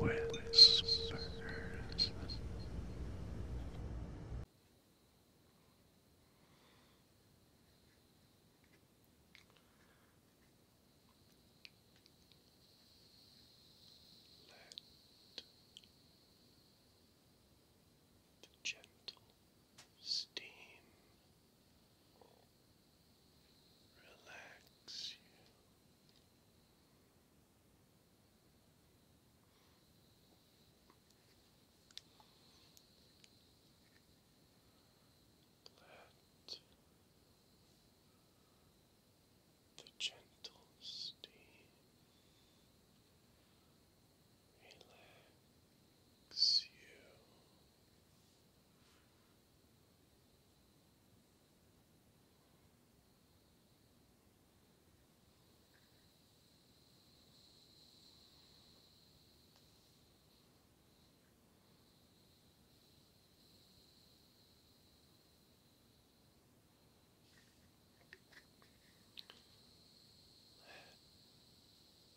Wandering Whispers. Let the gentle steam relax you. Let the gentle steam relax you. Relax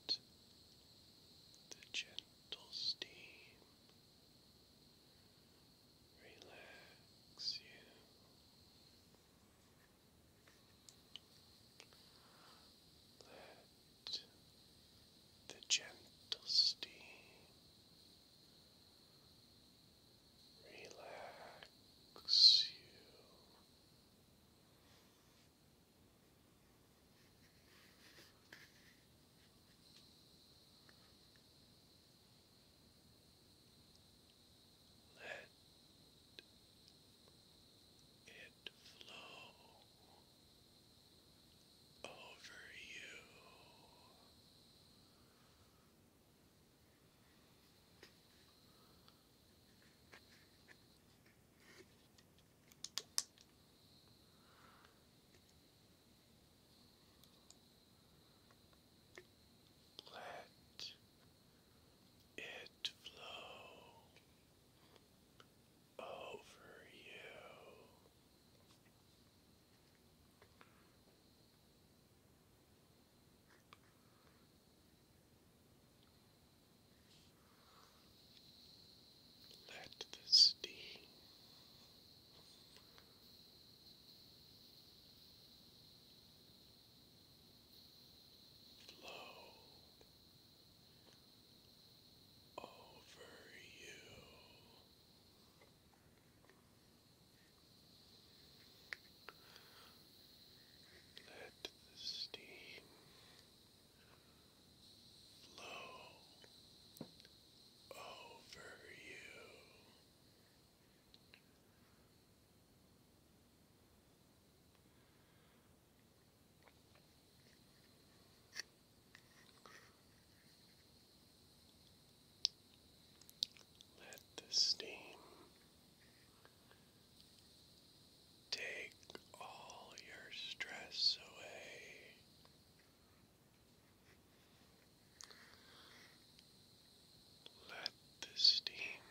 let the gentle steam relax you. Let the gentle steam relax you. Let it flow over you. Let it flow over you. Let the steam flow over you. Let the steam flow over you. Let the steam Take all your stress away. Let the steam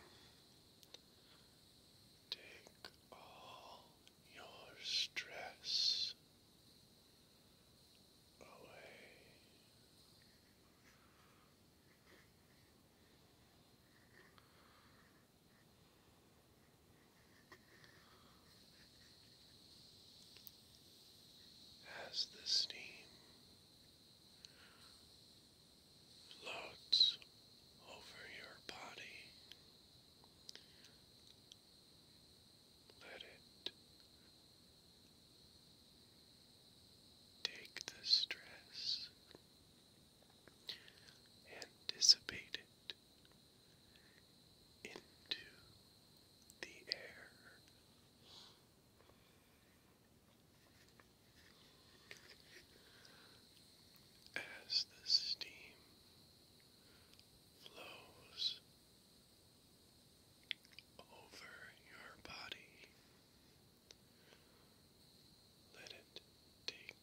take all your stress away. As the steam floats over your body, let it Take the stress and dissipate it into the air. As the steam flows over your body, let it take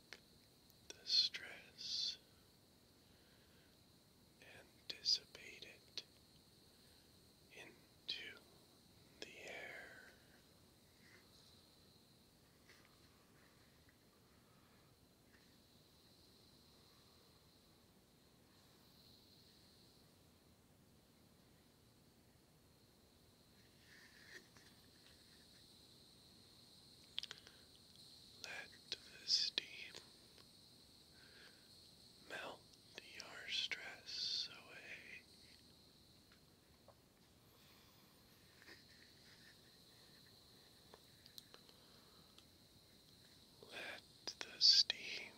the stress and dissipate it into the air. Let the steam melt your stress away. Let the steam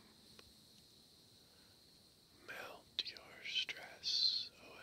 melt your stress away.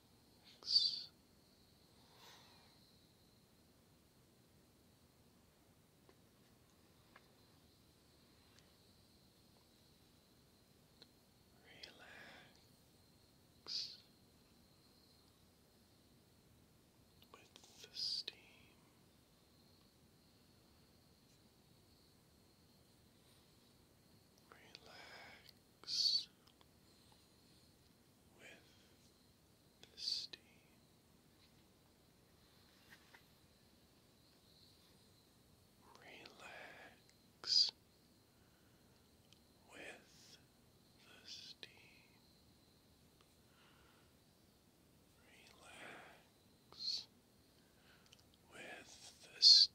Relax with the steam. Relax with the steam. Relax with the steam. Relax with the steam.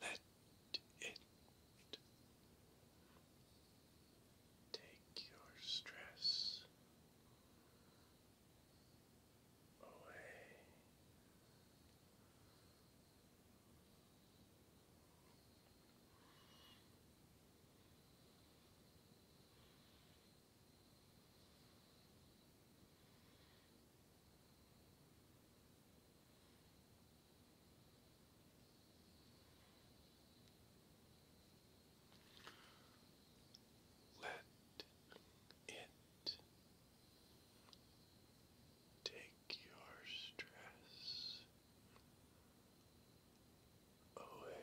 Let it take your stress away. Let it take your stress away.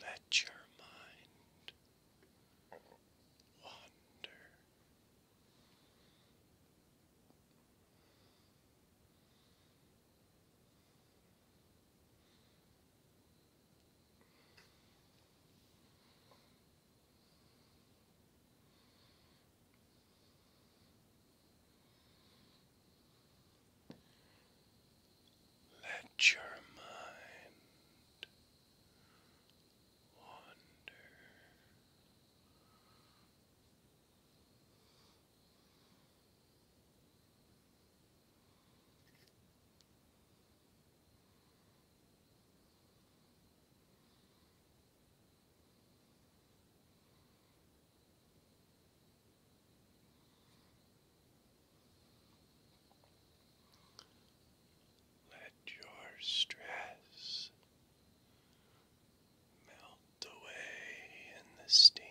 Let your mind wander. Let your mind wander let your stress melt away in the steam.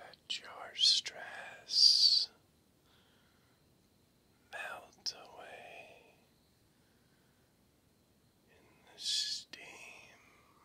Let your stress melt away in the steam. Now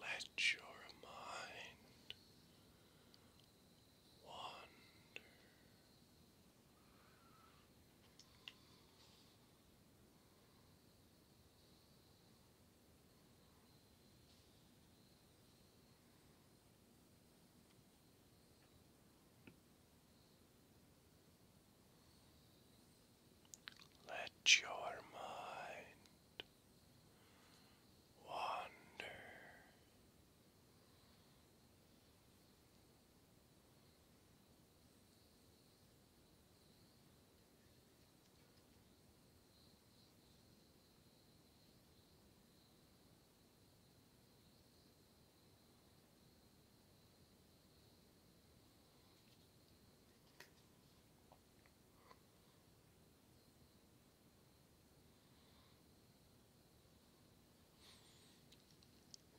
Let your mind wander. Let your mind wander.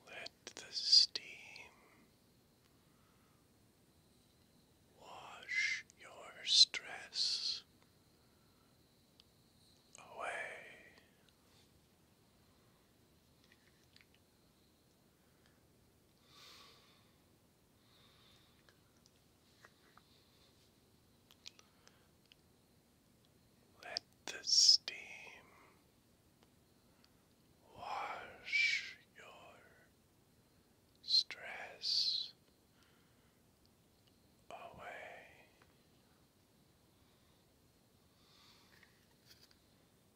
Let the steam wash your stress away. Let the steam wash your stress away.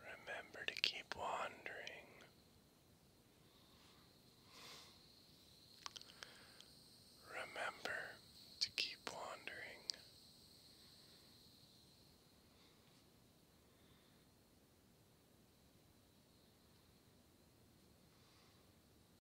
Remember to keep wandering. Remember to keep wandering.